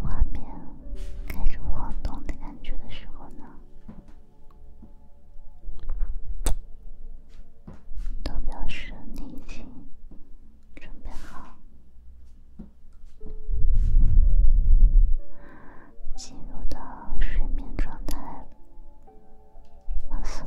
画面开始晃动的感觉的时候呢，都表示你已经准备好进入到睡眠状态了，放松。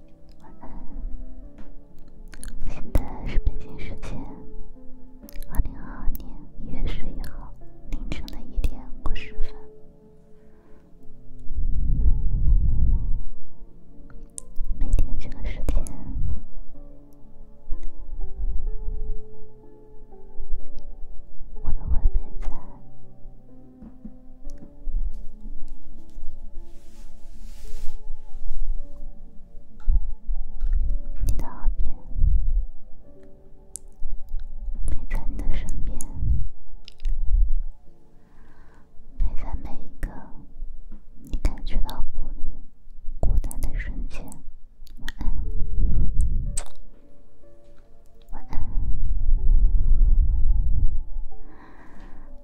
晚安。现在是北京时间二零二二年一月十一号凌晨的一点五十分。每天这个时间，我的耳边在。你的耳边，陪在你的身边，陪在每一个你感觉到孤独、孤单的瞬间。晚安，晚安。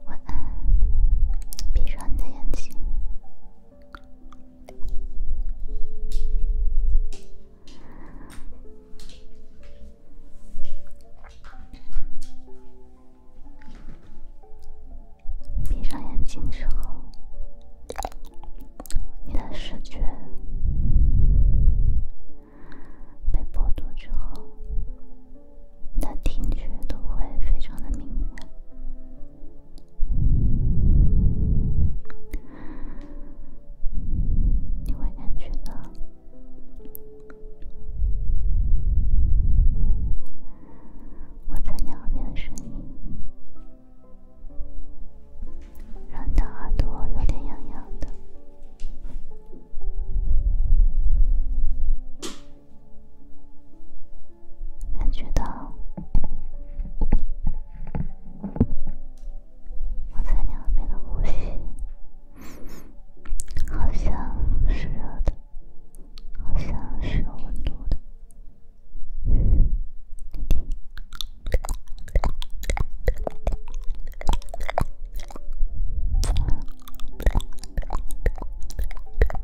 晚安，闭上你的眼睛。闭上眼睛之后，你的视觉被剥夺之后。的听觉都会非常的敏感，你会感觉到我在你耳边的声音，让你的耳朵有点痒痒的。感觉到我在两面的呼吸，好像是热的，好像是有温度的。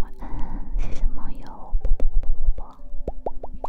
晚安，谢谢梦游，啵啵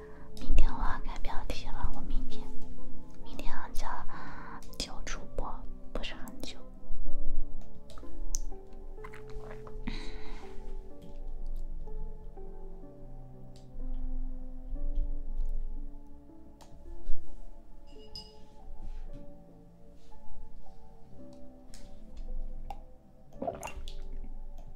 明天我要改标题了，我明天明天要叫旧主播，不是很久。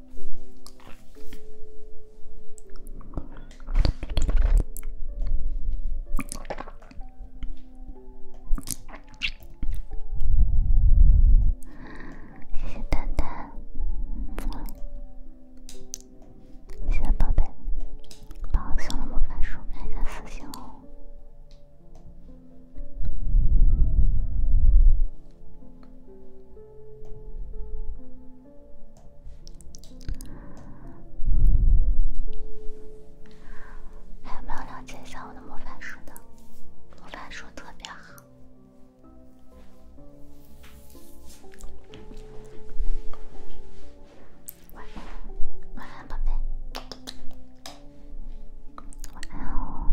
谢谢蛋蛋，谢谢宝贝，把送的魔法书看一下私信哦。还要不要了解一下我的魔法书的？魔法书特别好。晚安，宝贝。晚安哦。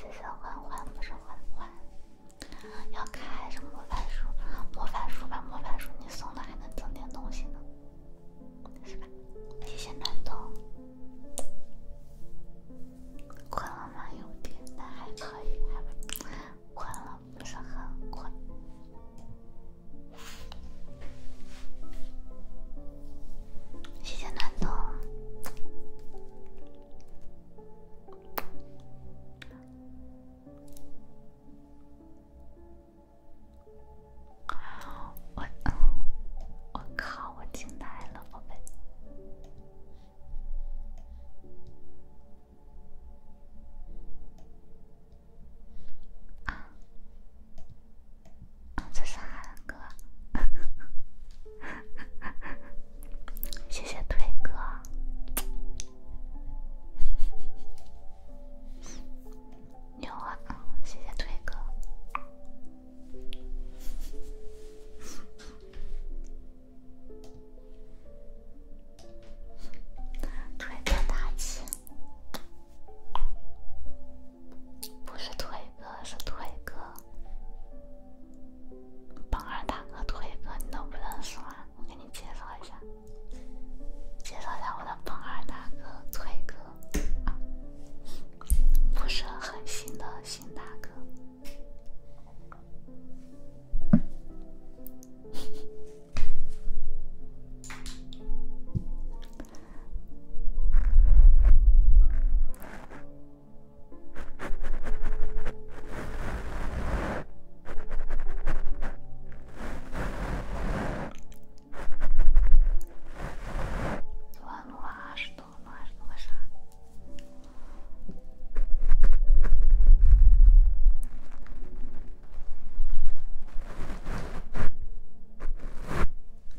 谢谢欢欢，不是欢欢，要开什么魔法书？魔法书吧，魔法书，你送的还能增点东西呢。谢谢暖冬。困了吗？有点，但还可以，还不困了，不是很困。谢谢暖冬。我 我靠！我惊呆了，宝贝！啊，这是韩哥，谢谢腿哥。牛啊！谢谢腿哥，腿哥大气，不是腿哥是腿哥，榜二大哥腿哥你都不认识吗？我给你介绍一下。介绍一下我的榜二大哥腿哥，不是很新的新大哥。多少多少多少？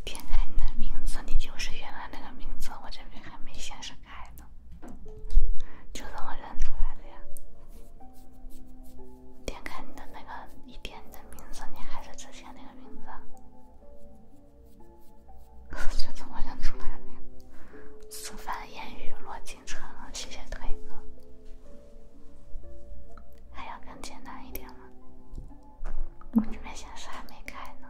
天才！你的名字，你就是原来那个名字，我这边还没显示开呢，就这么认出来的呀？点开你的那个，你点的名字，你还是之前那个名字？就突然想出来了，素泛烟雨落京城，谢谢腿哥。还要更简单一点了，我这边显示还没开呢。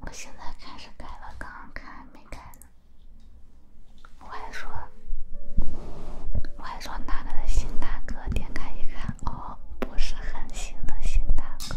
我现在开始改了，刚刚看没改呢。我还说。我还说娜娜的新大哥，点开一看，哦，不是狠心的新大哥。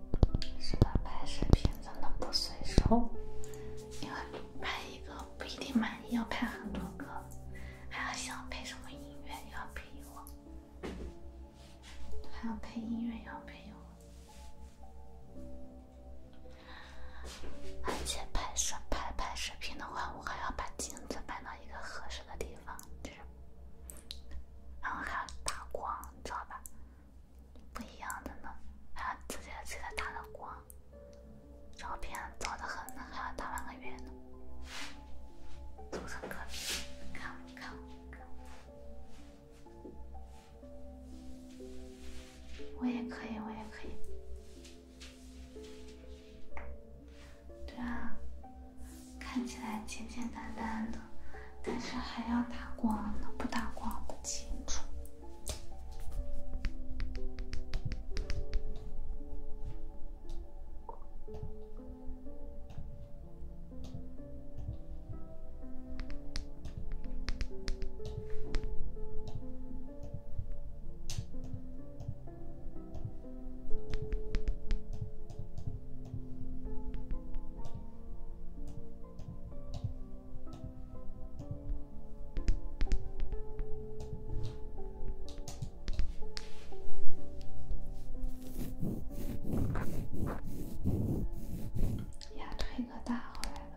是的，拍视频真的不随手，因为拍一个不一定满意，要拍很多个，还要想配什么音乐，要配音还要配音乐，要配音而且拍摄拍拍视频的话，我还要把镜子摆到一个合适的地方，然后还要打光。知吧？不一样的呢，还要自己自己打灯光，照片早的很呢，还要打半个月呢。组成看看看我也可以，我也可以。对啊。看起来简简单单的，但是还要打光呢，不打光不清楚。呀，吹个大坏了！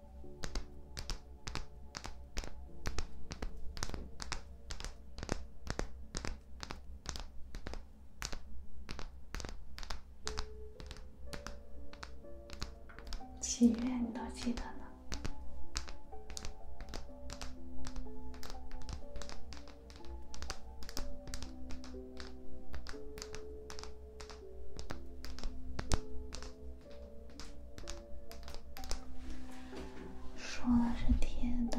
祈愿你都记得呢？说的是贴的。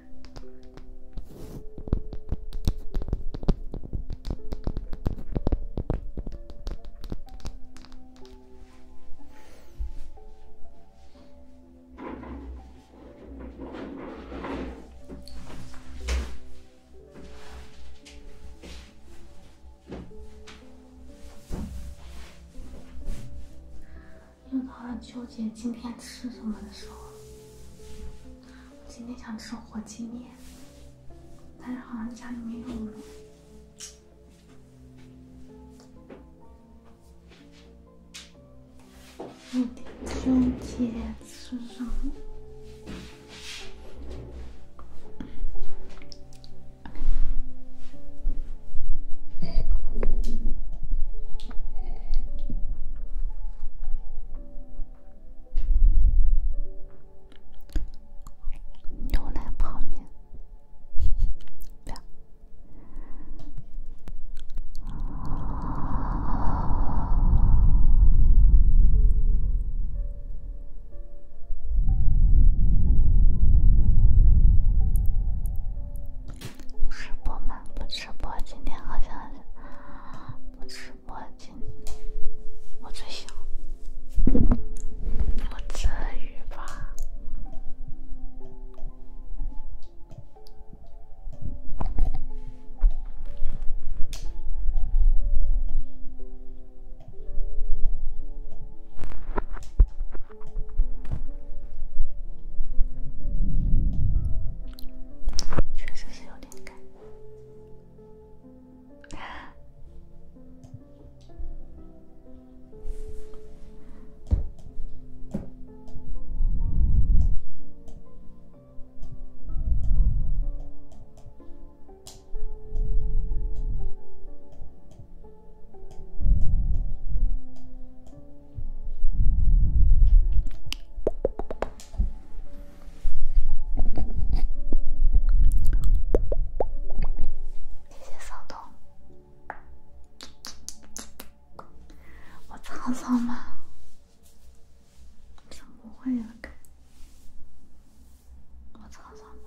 又到了纠结今天吃什么的时候。我今天想吃火鸡面，但是好像家里没有。明天想吃么？牛奶泡面。直播吗？不直播，今天好像不直播，今我最想不至于吧。确实是有点干。谢谢骚动，我沧桑吗？怎么不会了？该我沧桑吗？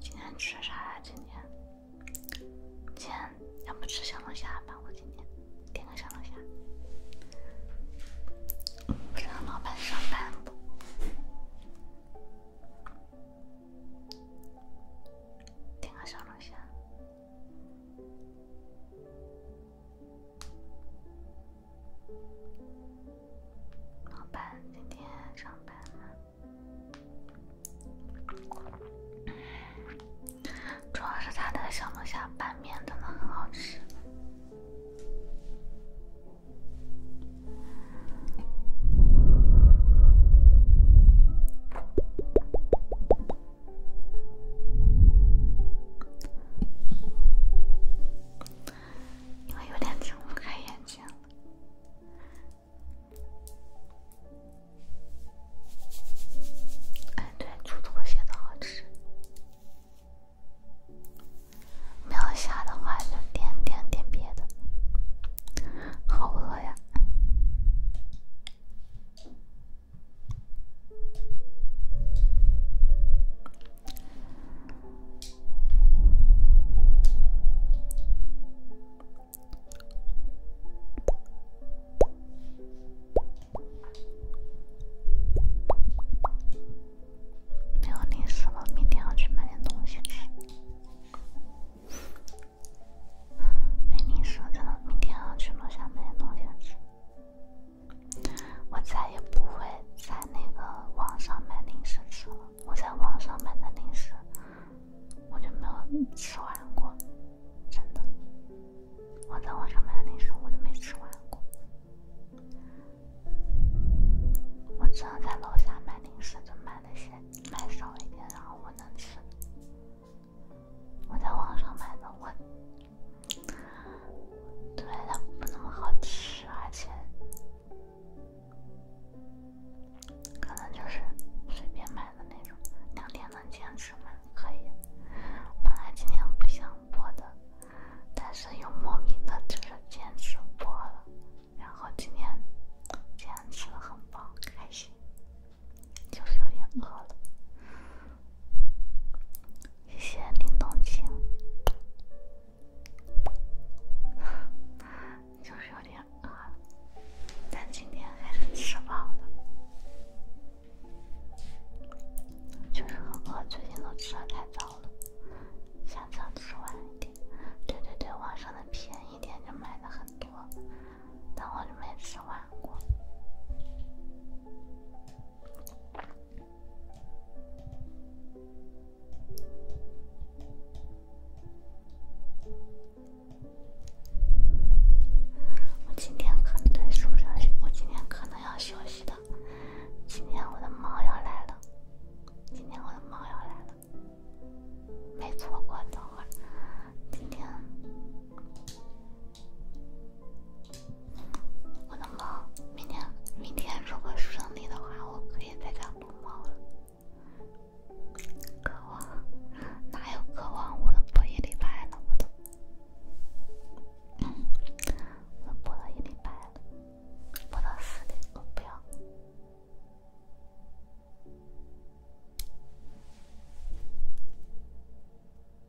今天吃啥？今天，今天要不吃小龙虾吧？我今天点个小龙虾，不知道老板上班不？点个小龙虾。老板今天上班主要是他的小龙虾拌面真的很好吃。因为有点睁不开眼睛了。哎，对，煮拖鞋的好吃。没有下的话就点点点别的。好饿呀！没有零食了，明天要去买点东西吃。没零食了，真的，明天要去楼下买点东西吃。我再也不会在那个网上买零食吃了。我在网上买的零食，我就没有吃完过，真的。我在网上买的零食，我就没吃完过。我只能在楼下买零食，就买那些买少一点，然后我能吃。我在网上买的，我对它不那么好吃，而且可能就是随便买的那种。两天能坚持吗？可以。本来今天不想播的，但是又莫名的就是坚持播了。然后今天坚持很棒，开心。就是有点饿了，谢谢林冬晴。就是有点饿了，但今天还是吃饱了。就是很饿，最近都吃的太早了，下次吃晚一点。对对对，网上的便宜点就买的很多，但我就没吃完。我今天可能在树上我今天可能要休息的。今天我的猫要来了，今天我的猫要来了，没错过。等会儿，今天。我的猫，明天明天如果顺利的话，我可以再家撸猫了。渴望，哪有渴望？我都播一礼拜了，我都，嗯，我都播了一礼拜了，播到四点，我不要。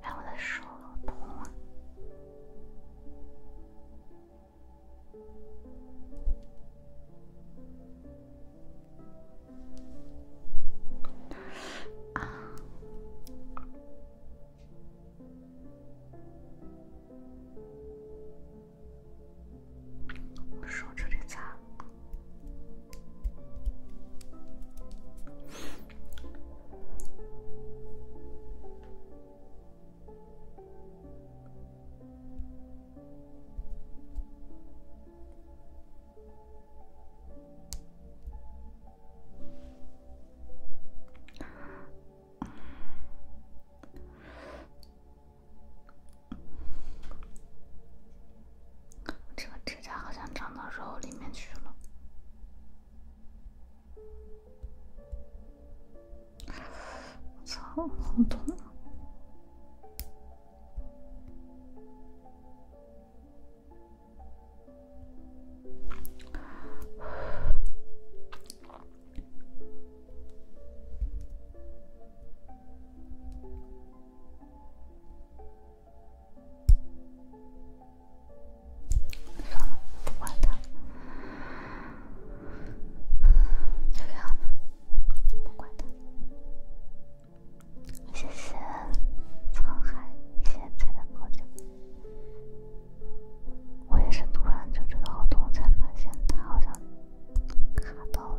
哎，我的手好痛啊！手指得擦。这个指甲好像长到肉里面去了，差不多。算了，不管他。就这样，不管他。谢谢沧海现在的表我也是突然就知道好痛，才发现他好像卡到了。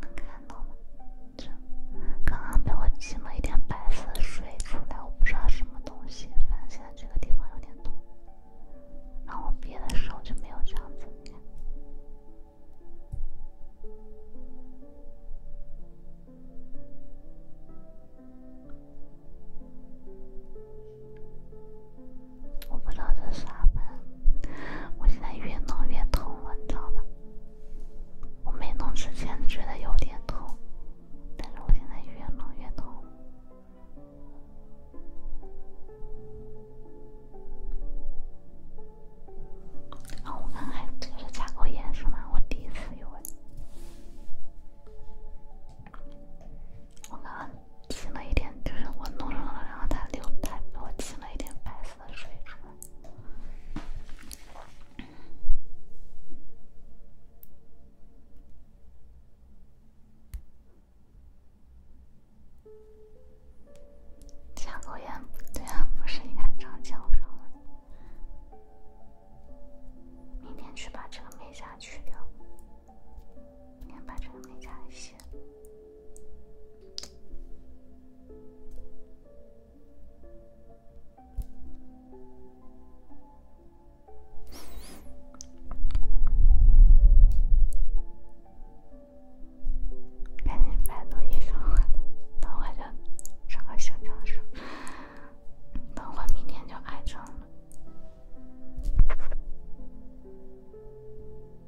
能看到吗？这刚刚被我挤了一点白色水出来，我不知道什么东西，反正现在这个地方有点痛。然后我的时候就没有这样子。我不知道这啥门，我现在越弄越痛了，你知道吧？我没弄之前觉得有点痛，但是我现在越弄越痛。啊，我刚才这个是甲沟炎是吗？我第一次有问。我刚刚挤了一点，就是我弄上了，然后它流，它我挤了一点白色的水出来，下口炎，对呀，不是，应该长焦上了，明天去把这个美甲去掉。先把这个美甲卸。赶紧百度一下，等会就上个休整室。等会明天就化妆了。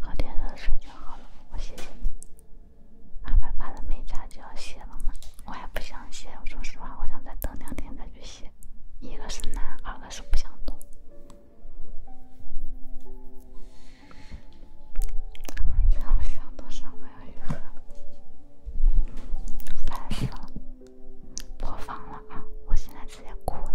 喝点热水就好了。我谢谢你。二八八的美甲就要卸了吗？我也不想卸，说实话，我想再等两天再去卸。一个是难，二是不想动。要不想多少，我要一个。烦死了！播放了啊！我现在直接哭了。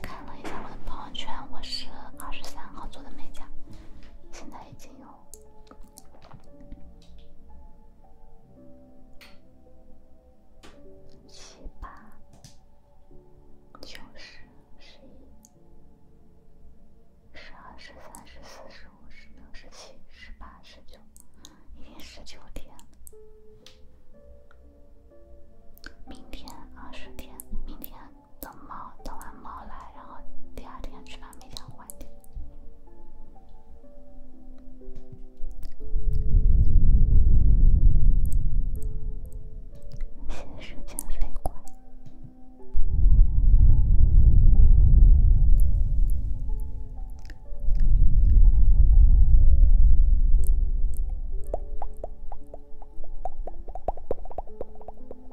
看了一下我的朋友圈，我是二十三号做的美甲，现在已经有。七八九十十一十二十三十四十五十六十七十八十九，已经十九天明天二十天，明天。等猫等完猫来，然后第二天去把米家换掉。时间飞快。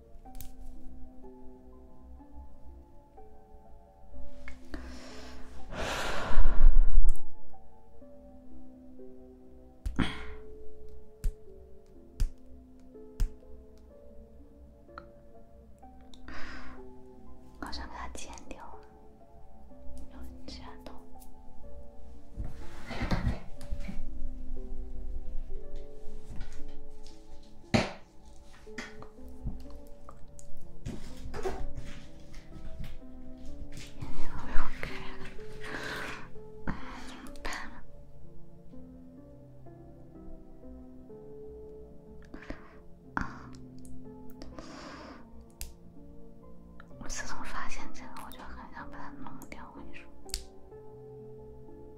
好像给它剪掉了，有点其他痛。你怎么又开自从发现这个，我就很想把它弄掉，你说。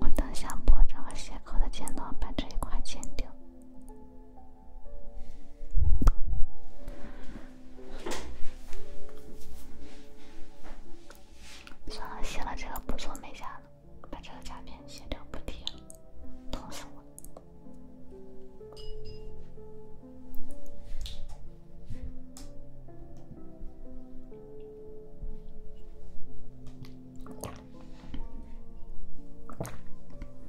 我等下把这个斜口的尖端把这一块剪掉。算了，卸了这个不做美甲把这个甲片卸掉不贴，疼死我！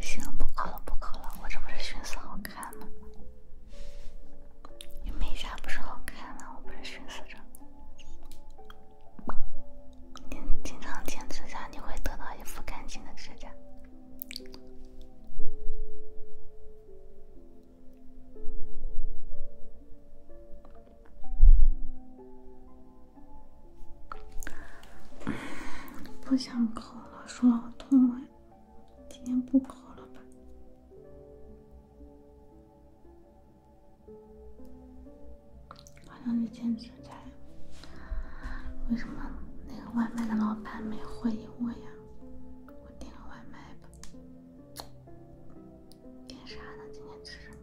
行，不抠了不抠了，我这不是寻思好看吗？你美甲不是好看吗？我不是寻思着，你经常剪指甲，你会得到一副干净的指甲。不想抠了，说好痛哎！今天不抠了吧？好像这兼职在。为什么那个外卖的老板没回应我呀？我点个外卖吧。点啥呢？今天吃什么？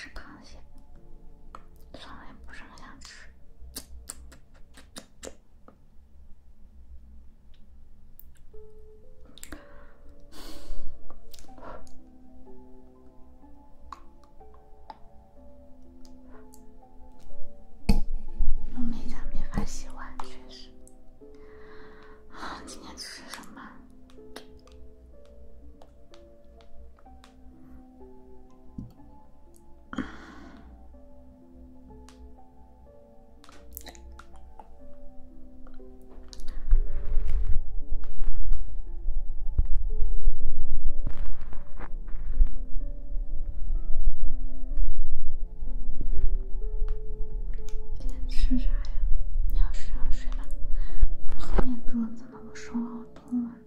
是的。从来不是很想吃。我每家没法洗碗，确实。今天吃什么？今天吃啥呀？你要睡就睡吧。好眼珠子了，我手好痛啊。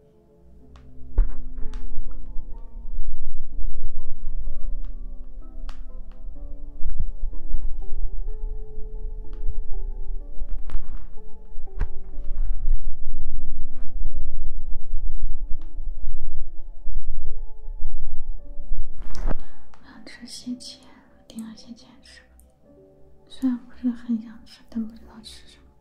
我想吃蟹钳，订了蟹钳吃。虽然不是很想吃，但不知道吃什么。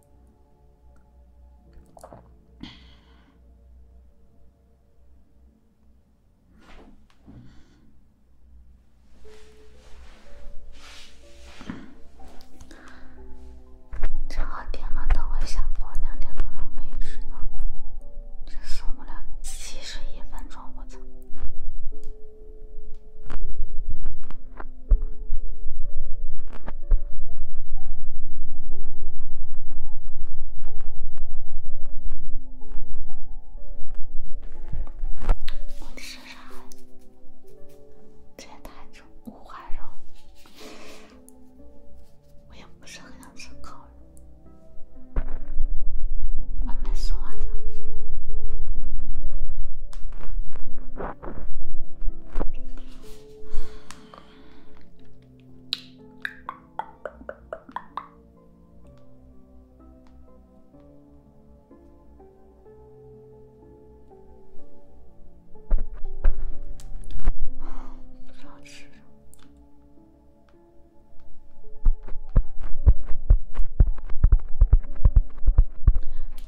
正好点了，等会下播两点多钟可以知道。这送我俩七十一分钟，我操！我吃啥？这也太重，五花肉。我也不是很想吃烤。外卖送来的。不知道吃什么。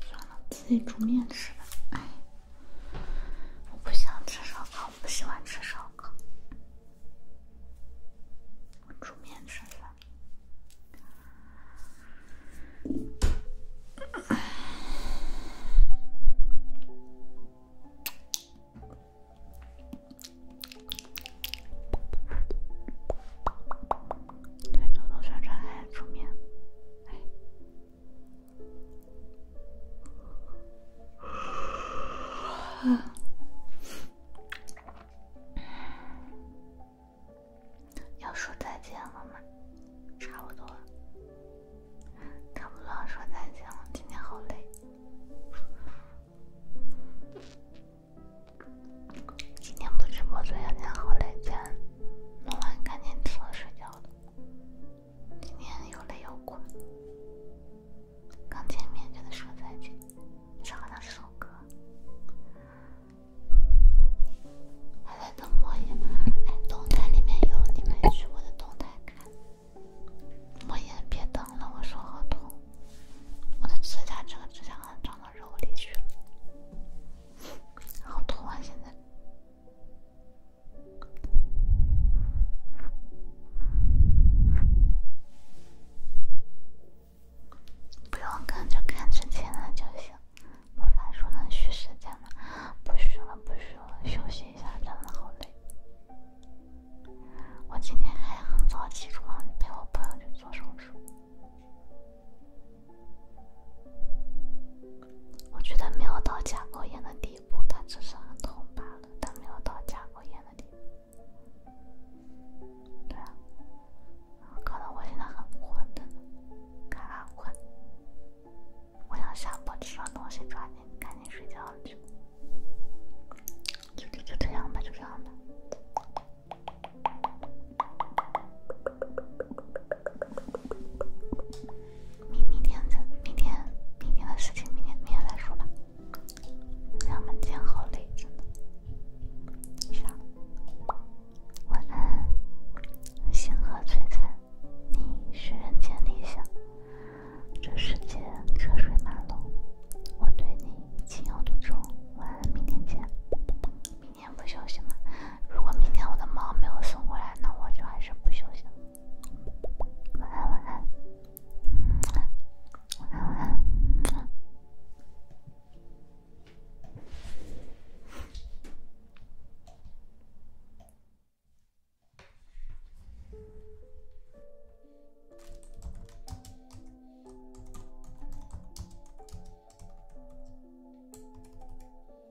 算了。自己煮面吃的，哎，我不想吃烧烤，我不喜欢吃烧烤，我煮面吃的。对，多多宣传，还煮面，哎。要说再见了吗？差不多了，差不多要说再见了。今天好累，今天不直播，昨天好累，先弄完赶紧躺睡觉了。今天又累又困，刚见面就得说再见，唱了这首歌，还在等莫言。哎，动态里面有你，没去我的动态看。莫言，别等了，我说好痛，我的指甲，这个指甲长到肉里去了，好痛啊，现在。不用看，就看之前的就行。我才说能续时间呢，不续了，不续了，休息一下，真的好累。我今天还很早起床陪我朋友去做手术。我觉得没有到甲沟炎的地步，它只是很痛罢了。但没有到甲沟炎的地步，对啊。可能我现在很困的，看看困。我想下播，吃装东西，抓紧，赶紧睡觉去。就就就这样吧，就这样吧。明明天子，明天明天的事情，明天明天再说吧。咱们今天好累，真的。晚安，星河璀璨，你是人间理想。这世间车水马龙，我对你情有独钟。晚安，明天见。明天不休息吗？如果明天我的猫没有送过来，那我就还是不休息了。